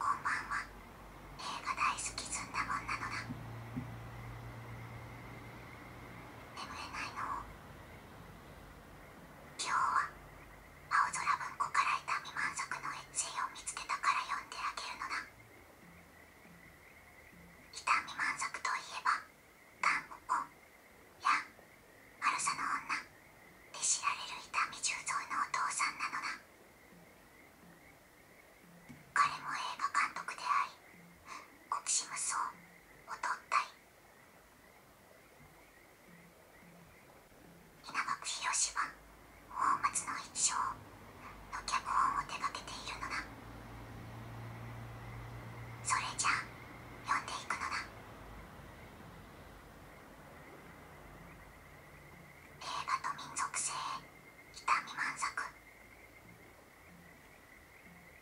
こんばんは映画大好きずんだもんなのだ眠れないのを。今日は青空文庫からいた未満足のエッセイを見つけたから読んであげるのだ伊丹未満足といえば「頑固。や「悪さの女で知られる痛み。十三のお父さんなのだ彼も映画監督であり国士無双を取ったい稲垣博士は宝松の一生の脚本を手がけているのだそれじゃあ読んでいくのだ。映画と民族性痛み満足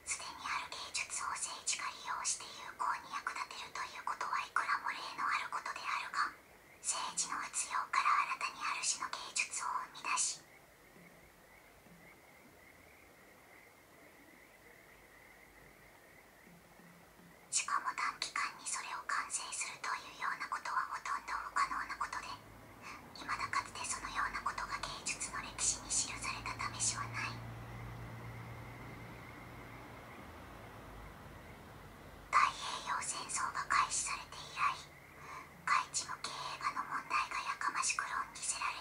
すでにある芸術を政治家利用して有効に役立てるということはいくらも例のあることであるが政治の活用から新たにある種の芸術を生み出ししかも短期間にそれを完成するというようなことはほとんど不可能なことでいまだかつてそのようなことが芸術の歴史に記されたためしはない太平洋戦争が開始されて以来外地向け映画の問題がやかましく論じせられ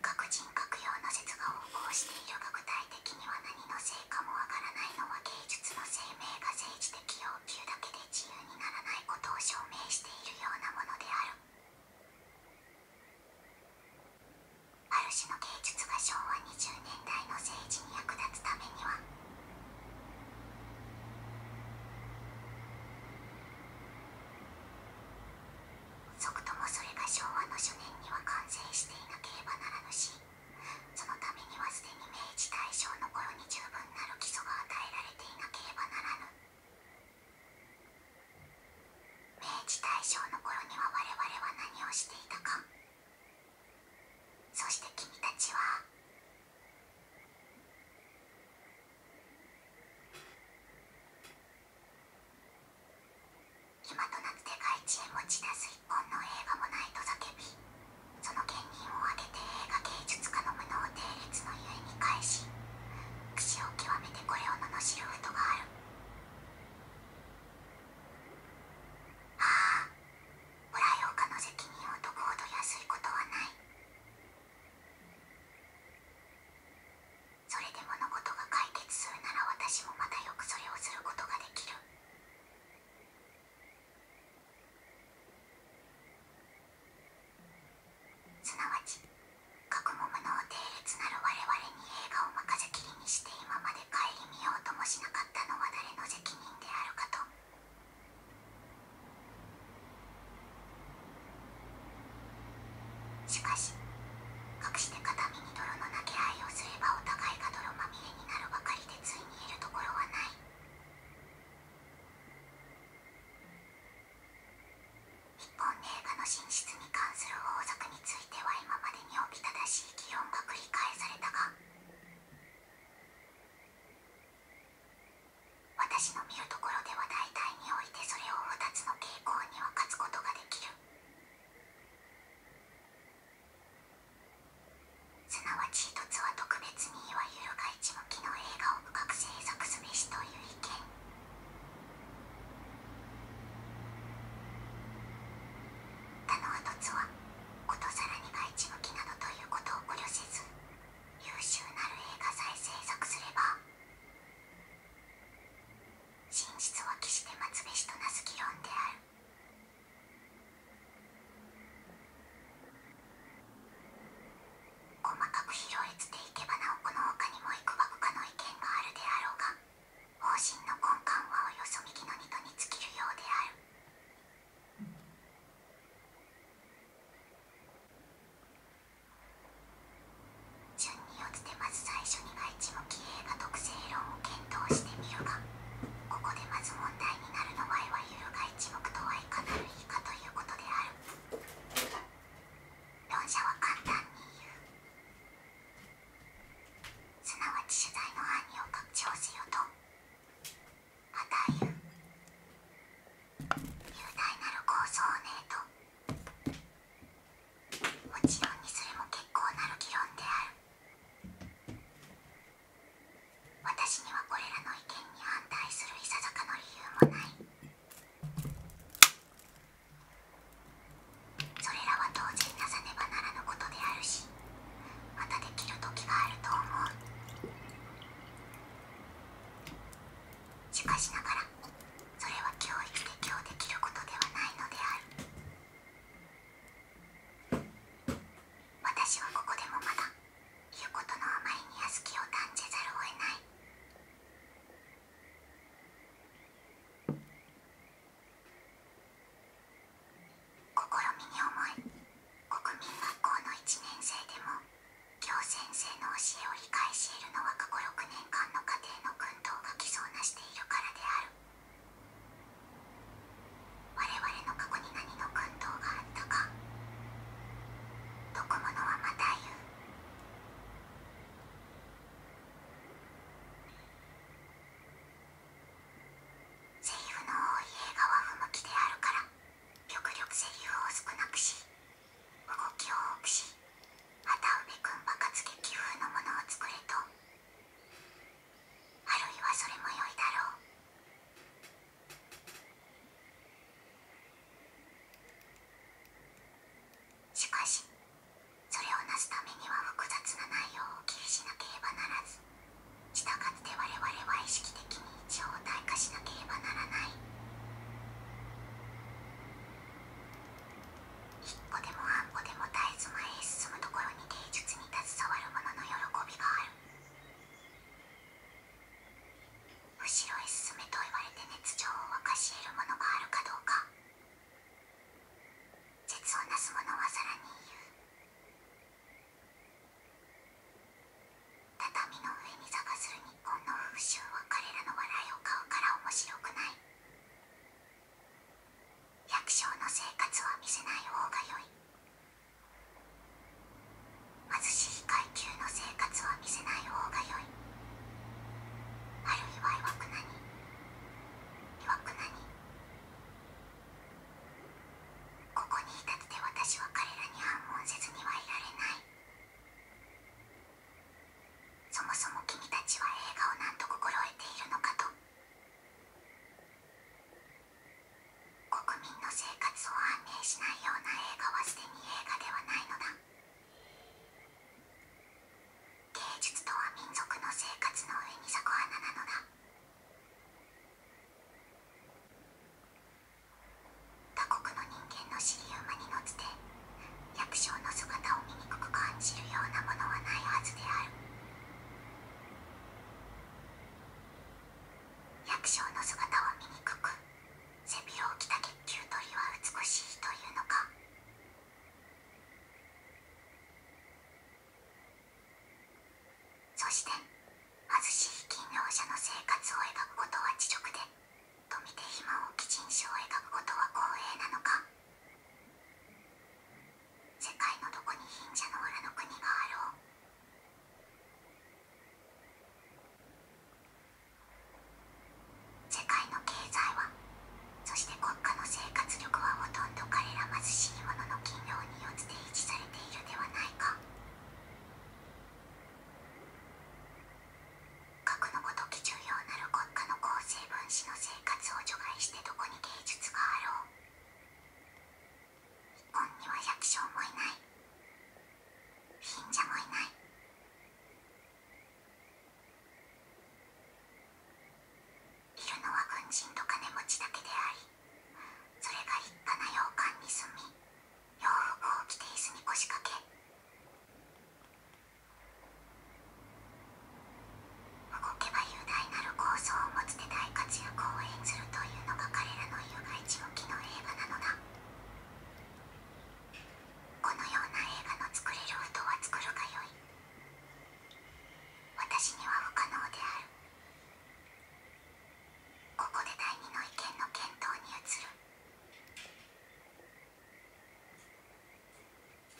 各人各様の説が横行しているが具体的には何のせいかもわからないのは芸術の生命が政治的要求だけで自由にならないことを証明しているようなものであるある種の芸術が昭和20年代の政治に役立つためには即ともそれが昭和の初年には完成していなければならぬしそのためにはすでに明治大正の頃に十分なる基礎が与えられていなければならぬ明治大正の頃には我々は何をしていたかそして君たちは今となって外地へ持ち出す一本の映画もないと叫びその権人を挙げて映画芸術家の無能定列のゆえに返し櫛を極めてこれを罵ることがあるああ裏ヨガの責任を解くほど安いことはないそれで物事が解決するなら私もまたよくそれをすることができるすなわち学も無能定列なる我々に映画を任せきりにして今まで顧みようともしなかったのは誰の責任であるかと。しかし隠して片身に泥の投げ合いをすればお互いが泥まみれになるばかりでついにいるところはない日本映画の進出に関する法則については今までにおびただしい議論が繰り返されたが私の見るところでは大体においてそれを2つの傾向には勝つことができるすなわち1つは特別にいわゆるが一向きの映画を深く制作すべしという意見他の1つはことさらにが一向きなどということを考慮せず優秀なる映画さえ制作すれば真実は期して待つべしとなす議論である細かく広えつていけばなおこの他にもいくばくかの意見があるであろうが方針の根幹はおよそ右の二度に尽きるようである順によってまず最初にが一目騎兵が特性論を検討してみるがここでまず問題になるのはいわゆるが一目とはいかなる以下ということである論者は簡単に言うすなわち取材の範囲を拡張せよと。たいや雄大なる構想をねえともちろんにそれも結構なる議論である私にはこれらの意見に反対するいささかの理由もないそれらは当然なさねばならぬことであるしまたできる時があると思うしかしながらそれは教育一で今日できることではないのである私はここでもまだ言うことのあまりに屋敷を断じざるを得ない試みに思い国民学校の1年生でも教先生の教えを理解し得るのは過去6年間の家庭の訓導が既存なしているからである我々の過去に何の訓導があったか解くのはまた言うセリフの多い映画は不向きであるから極力セリフを少なくし動きを多くしまた梅くん爆発劇風のものを作れとあるいはそれも良いだろうしかしそれをなすためには複雑な内容を気にしなければならずしたがって我々は意識的に一応退化しなければならない一歩でも半歩でも絶えず前へ進むところに芸術に携わる者の喜びがある後ろへ進めと言われて熱情を沸かし得るものがあるかどうか絶をなす者はさらに言う畳の上に探する日本の風習は彼らの笑いを買うから面白くない百姓の生活は見せない方が良い貧しい階級の生活は見せない方が良いあるいはいわくなにいわくなにここにいたって私は彼らに反問せずにはいられないそもそも君たちは映画を何と心得ているのかと国民の生活を反映しないような映画はすでに映画ではないのだ芸術とは民族の生活の上に咲く花なのだ他国の人間の尻馬に乗って百姓の姿を醜く感じるようなものはないはずである百姓の姿は醜く背広を着た月球鳥は美しいというのかそして貧しい企業者の生活を描くことは自直でとでて満をきちんしを描くことは光栄なのか世界のどこに貧者の裏の国があろう世界の経済はそして国家の生活力はほとんど彼ら貧しい者の企業に。によって維持されているではないか核のごとき重要なる国家の構成分子の生活を除外してどこに芸術があろう日本には百姓もいない貧者もいないいるのは軍人と金持ちだけでありそれが一家な洋館に住み洋服を着て椅子に腰掛け動けば雄大なる構想を持つで大活躍を演ずるというのが彼らの有害地向きの映画なのだこのような映画の作れる人は作るがよい私には不可能であるここで第二の意見の検討に移る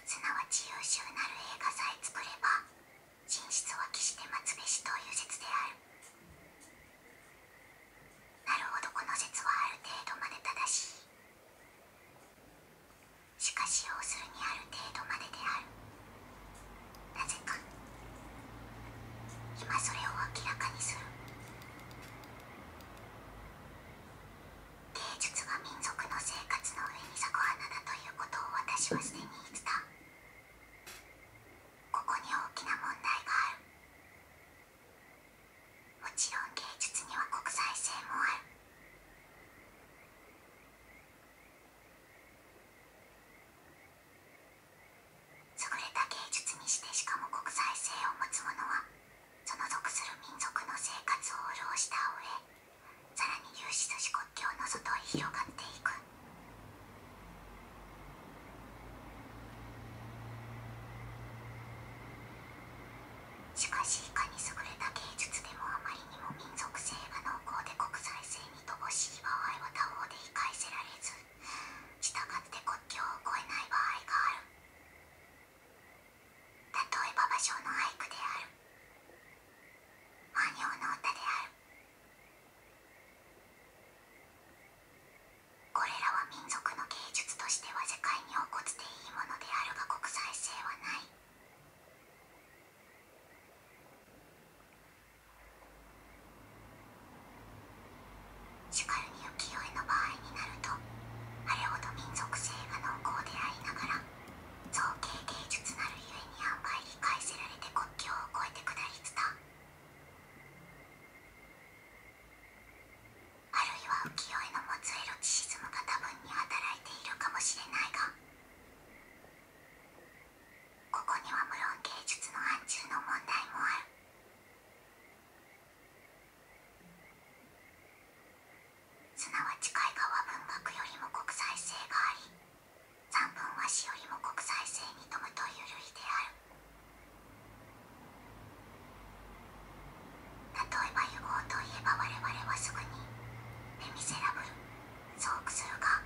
すなわち優秀なる映画さえ作れば真実は決して松べしという説であるなるほどこの説はある程度まで正しいしかし要するにある程度までであるなぜか今それを明らかにする芸術が民族の生活の上に咲く花だということを私はすでに言ったここに大きな問題があるもちろん芸術には国際性もあるれた芸術にしてしかも国際性を持つ者はその属する民族の生活を潤した上さらに有志寿司国境の外へ広がっていく。しかしいかに優れた芸術でもあまり属性が濃厚で国際性に乏しい場合は他方で理解せられず従って国境を越えない場合がある例えば芭蕉の俳句である万葉の歌であるこれらは民族の芸術としては世界に起こっていいものであるが国際性はない。しかるに浮世絵の場合になるとあれほど民族性が濃厚でありながら造形芸術なるゆえにあんまり理解せられて国境を越えて下りつたあるいは浮世絵の持つエロチシズムが多分に働いているかもしれないがここには無論芸術の範疇の問題もあるすなわち海画は文学よりも国際性があり散文は詩よりも国際性に富むという類である例えば「融合」といえば我々はすぐに「レ・ミゼラブル」そうするか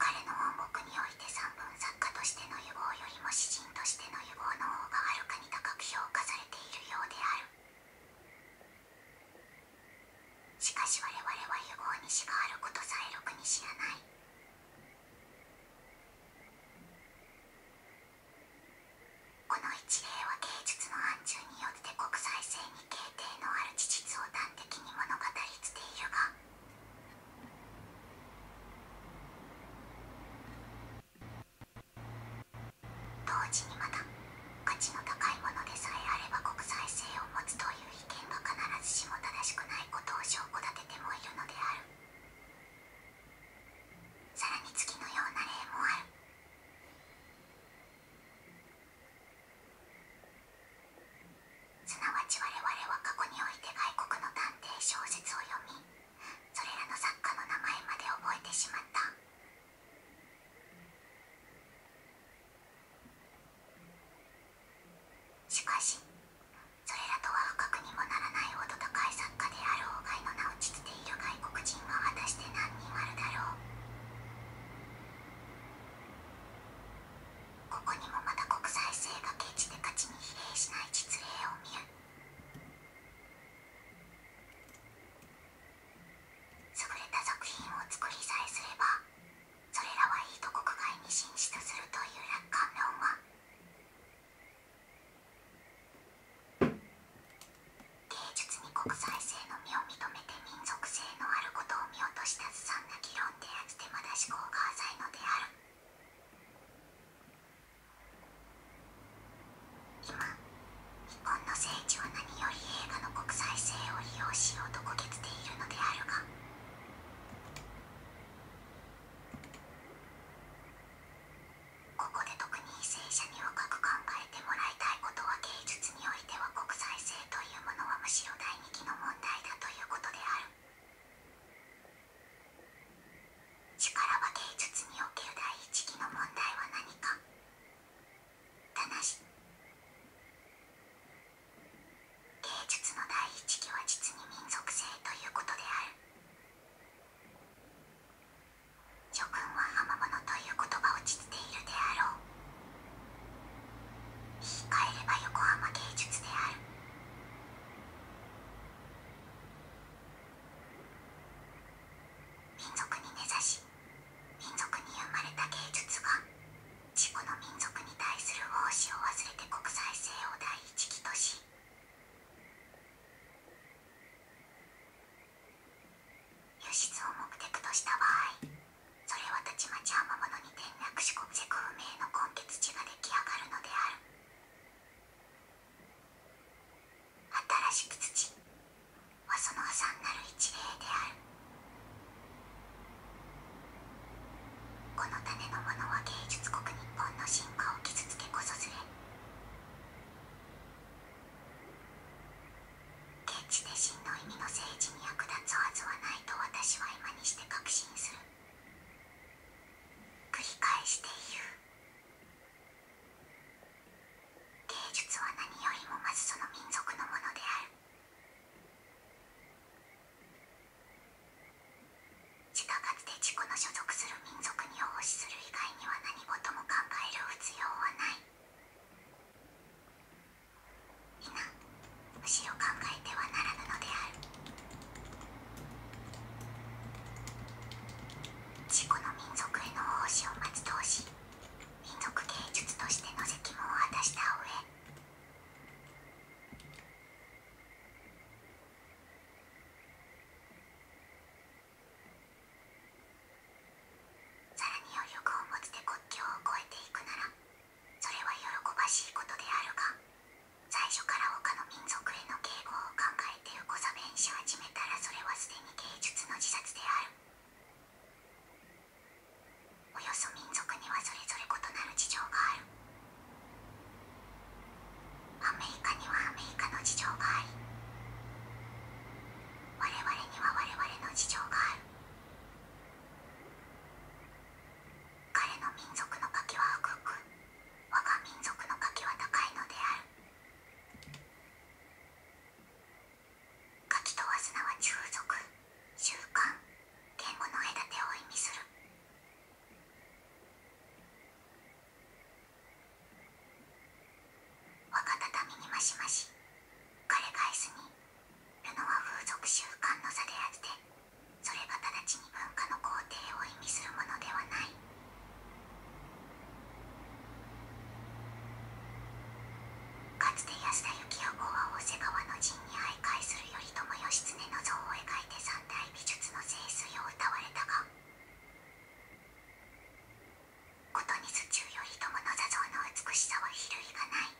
彼の音楽において散文作家としての有望よりも詩人としての有望の方がはるかに高く評価されているようであるしかし我々は有望にしかあることさえろくに知らないこの一例は芸術の範疇によって国際性に形定のある事実を端的に物語っているが同時にまた価値の高いものでさえあれば国際性を持つという意見が必ずしも正しくないことを証拠立ててもいるのである。さらに月のような例もあるすなわち我々は過去において外国の探偵小説を読みそれらの作家の名前まで覚えてしまったしかしそれらとは不覚にもならないほと高い作家である。うがいの名をきている外国人は果たして何人あるだろうここにもまた国際性が決チで勝ちに比例しない実例を見る優れた作品を作りさえすればそれらはいいと国外に進出するという楽観論は芸術に国際性の身を認めて民族性のあることを見落としたずさんな議論でやってまだ思考が浅いのである今日本の政治は何より映画の国際性を利用しようとこけつているのであるがここで特に為社に若く考えてもらいたいことは芸術においては国際性というものはむしろ第二期の問題だということである力は芸術における第一期の問題は何かただし芸術の第一期は実に民族性ということである諸君は浜のという言葉を知っているであろう言い換えれば横浜芸術である民族に根ざし民族に生まれた芸術が自己の民族に対する奉仕を忘れて国際性を第一義とし輸出を目的とした場合それはたちまちものに転落し国籍不明の根血地が出来上がるのである新しく土はその破産なる一例である。この種のものは芸術国日本の進化を傷つけこそずれ決して真の意味の政治に役立つはずはないと私は今にして確信する繰り返して言う芸術は何よりもまずその民族のものであるしたかつて自己の所属する民族に奉仕する以外には何事も考える必要はない皆むしろ考えてはならぬのである自己の民族への奉仕を待つ通し民族芸術としての責務を果たした上さらに余力を持って国境を越えていくならそれは喜ばしいことであるが最初から他の民族への敬語を考えてう横差弁し始めたらそれはすでに芸術の自殺であるおよそ民族にはそれぞれ異なる事情があるアメリカにはアメリカの事情があり我々には我々の事情がある彼の民族の柿は低く我が民族の柿は高いのである柿とはすなわち風俗習慣言語の隔てを意味する若畳にマしマし、彼が椅子にルノは風俗習慣の差であってそれが直ちに文化の皇帝を意味するものではないかつて安田幸男は大瀬川の陣に徘徊する頼朝義経の像を描いて三代ない美術の聖水を歌われたが琴に図中頼朝の座像の美しさは比類がない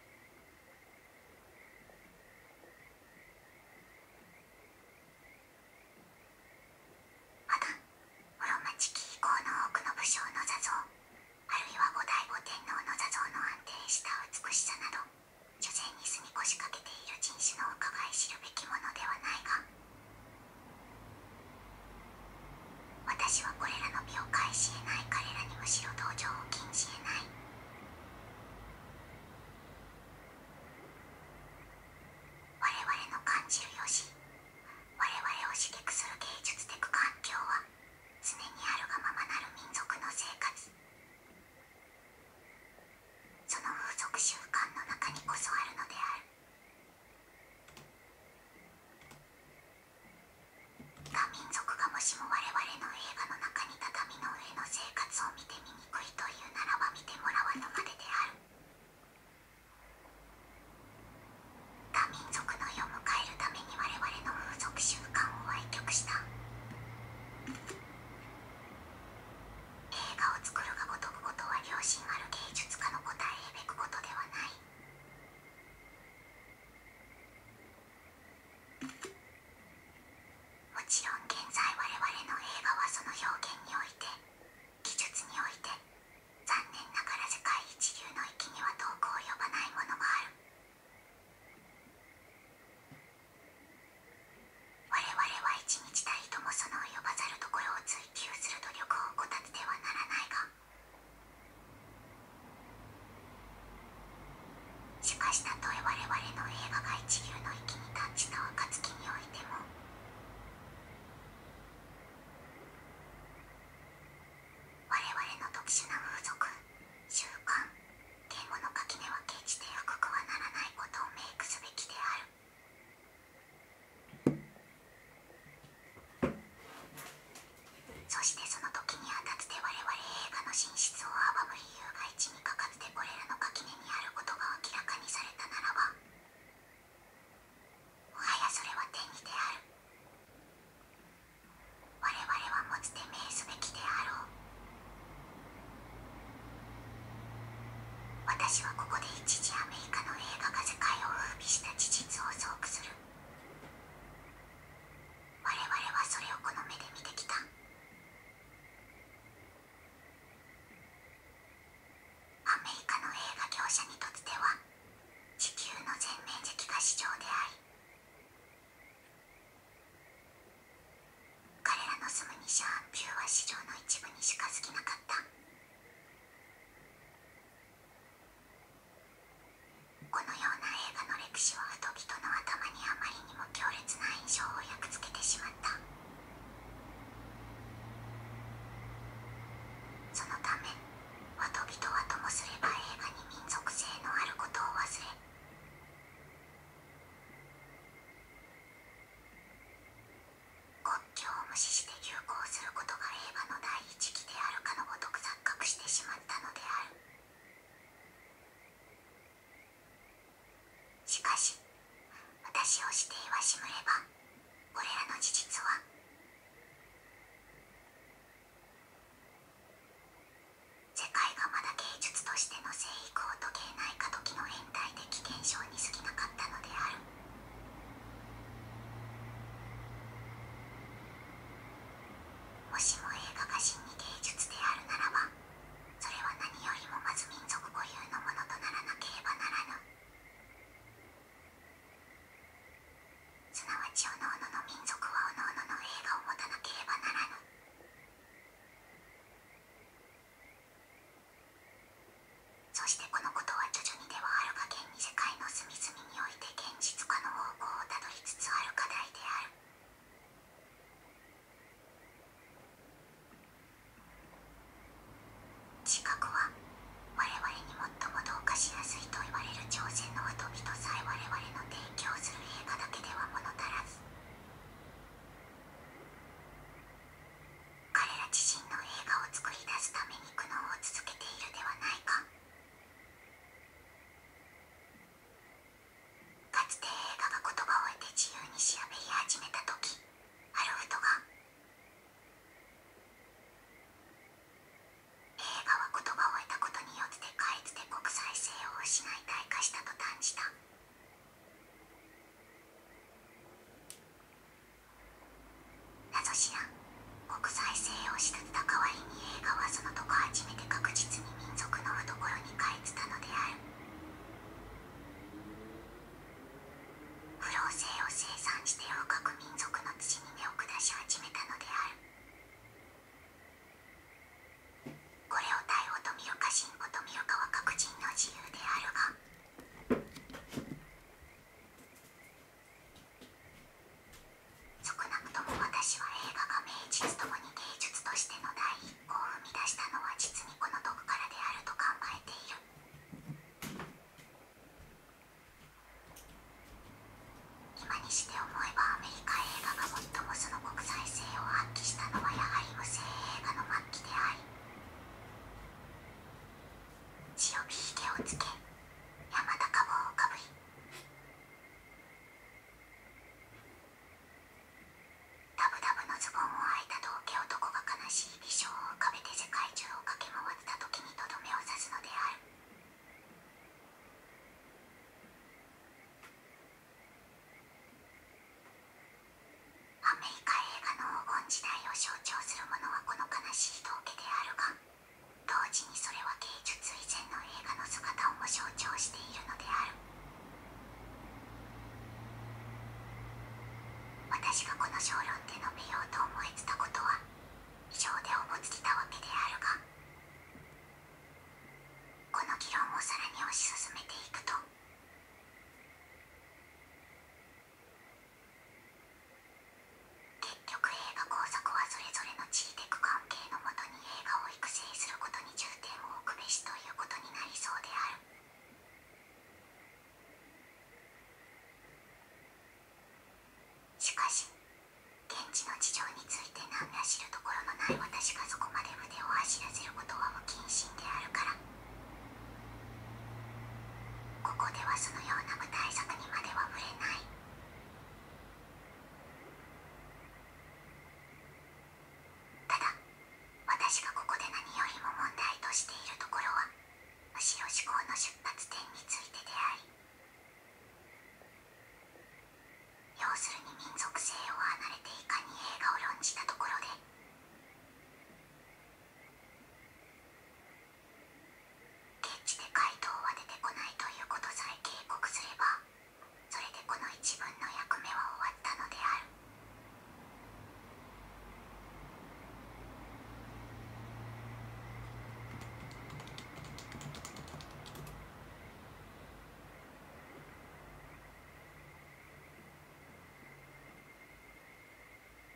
また室町期以降の多くの武将の座像あるいは後醍醐天皇の座像の安定した美しさなど女性に住み越しかけている人種の伺い知るべきものではないが私はこれらの美を返し得ない彼らにむしろ同情を禁じ得ない我々の感じるよし我々を刺激する芸術的環境は常にあるがままなる民族の生活その風俗習慣の中にこそあるのである他民族がもしも我々の映画の中に畳の上の生活を見てみにくいというならば見てもらわぬまでである他民族の世を迎えるために我々の風俗習慣を歪曲した映画を作るがごとくことは良心ある芸術家の答えべくことではないもちろん現在我々の映画はその表現において技術において残念ながら世界一流の域には遠く及ばないものがある我々は一日たりともその及ばざるところを追求する努力を怠ってはならないがしかしたとえ我々の映画が一流の域に達した暁においても我々の特殊な風俗習慣敬語の垣根は決して深くはならないことをイクすべきである。そしてその時にあたってれ我々映画の真実を阻む理由が一にかかってこれらの垣根にあることが明らかにされたならばもはやそれは天にである我れは持つて命すべきであろう私はここで一時アメリカの映画が世界を風靡した事実を想起する我々はそれをこの目で見てきたアメリカの映画業者にとっては地球の全面積が市場であり彼らの住むニシャーピは市場の一部にしか好きなかったこのような映画の歴史は人々の頭にあまりにも強烈な印象を焼きつけてしまったそのため人々はともすれば映画に民族性のあることを忘れ国境を無視して流行することが令和の第一期であるかのごとく錯覚してしまったのであるしかし私を指定はしむればこれらの事実は世界がまだ芸術としての生育を遂げない過渡期の変態的現象に過ぎなかったのであるもしも映画が真に芸術であるならばそれは何よりもまず民族固有のものとならなければならぬすなわちおのおのの民族はおのおのの映画を持たなければならぬ。そしてこのことは徐々にではあるか現に世界の隅々において現実化の方向をたどりつつある課題である。知覚は我々に最も同化しやすいと言われる挑戦の見とさえ我々の提供する映画だけでは物足らず。彼ら自身の映画を作り出すために苦悩を続けているではないかかつて映画が言葉を得て自由に調べり始めた時ハロフトが映画は言葉を得たことによって変え解決国際性を失い退化したと感じた謎しら国際性を失った代わりに映画はそのとこ初めて確実に民族の懐に帰ったのである不老性を生産して洋各民族の土に根を下し始めたのであるこれを対応と見るか進歩と見るかは各人の自由であるが少なくとも私は映画が名実ともに芸術としての第一歩を踏み出したのは実にこの毒からであると考えている。今にして思えばアメリカ映画が最もその国際性を発揮したのはやはり無声映画の末期であり白火ひげをつけ山田高帽をかぶりダブダブのズボンをはいた道家男が悲しい微笑を浮かべて世界中を駆け回った時にとどめを刺すのである。アメリカ映画の黄金時代を象徴するものはこの悲しい道化であるが同時にそれは芸術以前の映画の姿をも象徴しているのである私がこの小論で述べようと思いつたことは異常で思ぼつきたわけであるがこの議論をさらに推し進めていくと結局映画工作はそれぞれの地域的関係のもとに映画を育成することに重点を置くべしということになりそうである。しかし現地の事情について何ら知るところのない私がそこまで腕を走らせることは無謹慎であるからここではそのような無対策にまでは触れないただ私がここで何よりも問題としているところはむしろ思考の出発点についてであり要するに民族性を離れていかに映画を論じたところで現地で回答は出てこないということさえ警告すればそれでこの一文の役目は終わったのである。「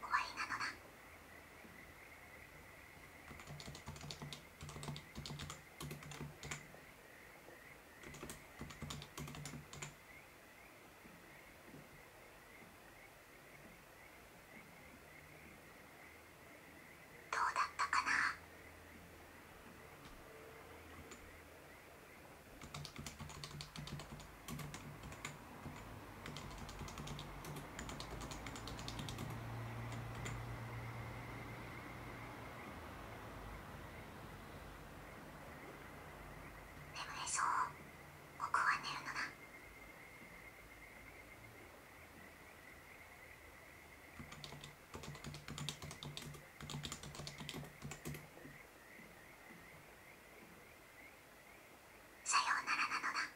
終わりなのだどうだったかな眠れそう僕は寝るのださようならなのだ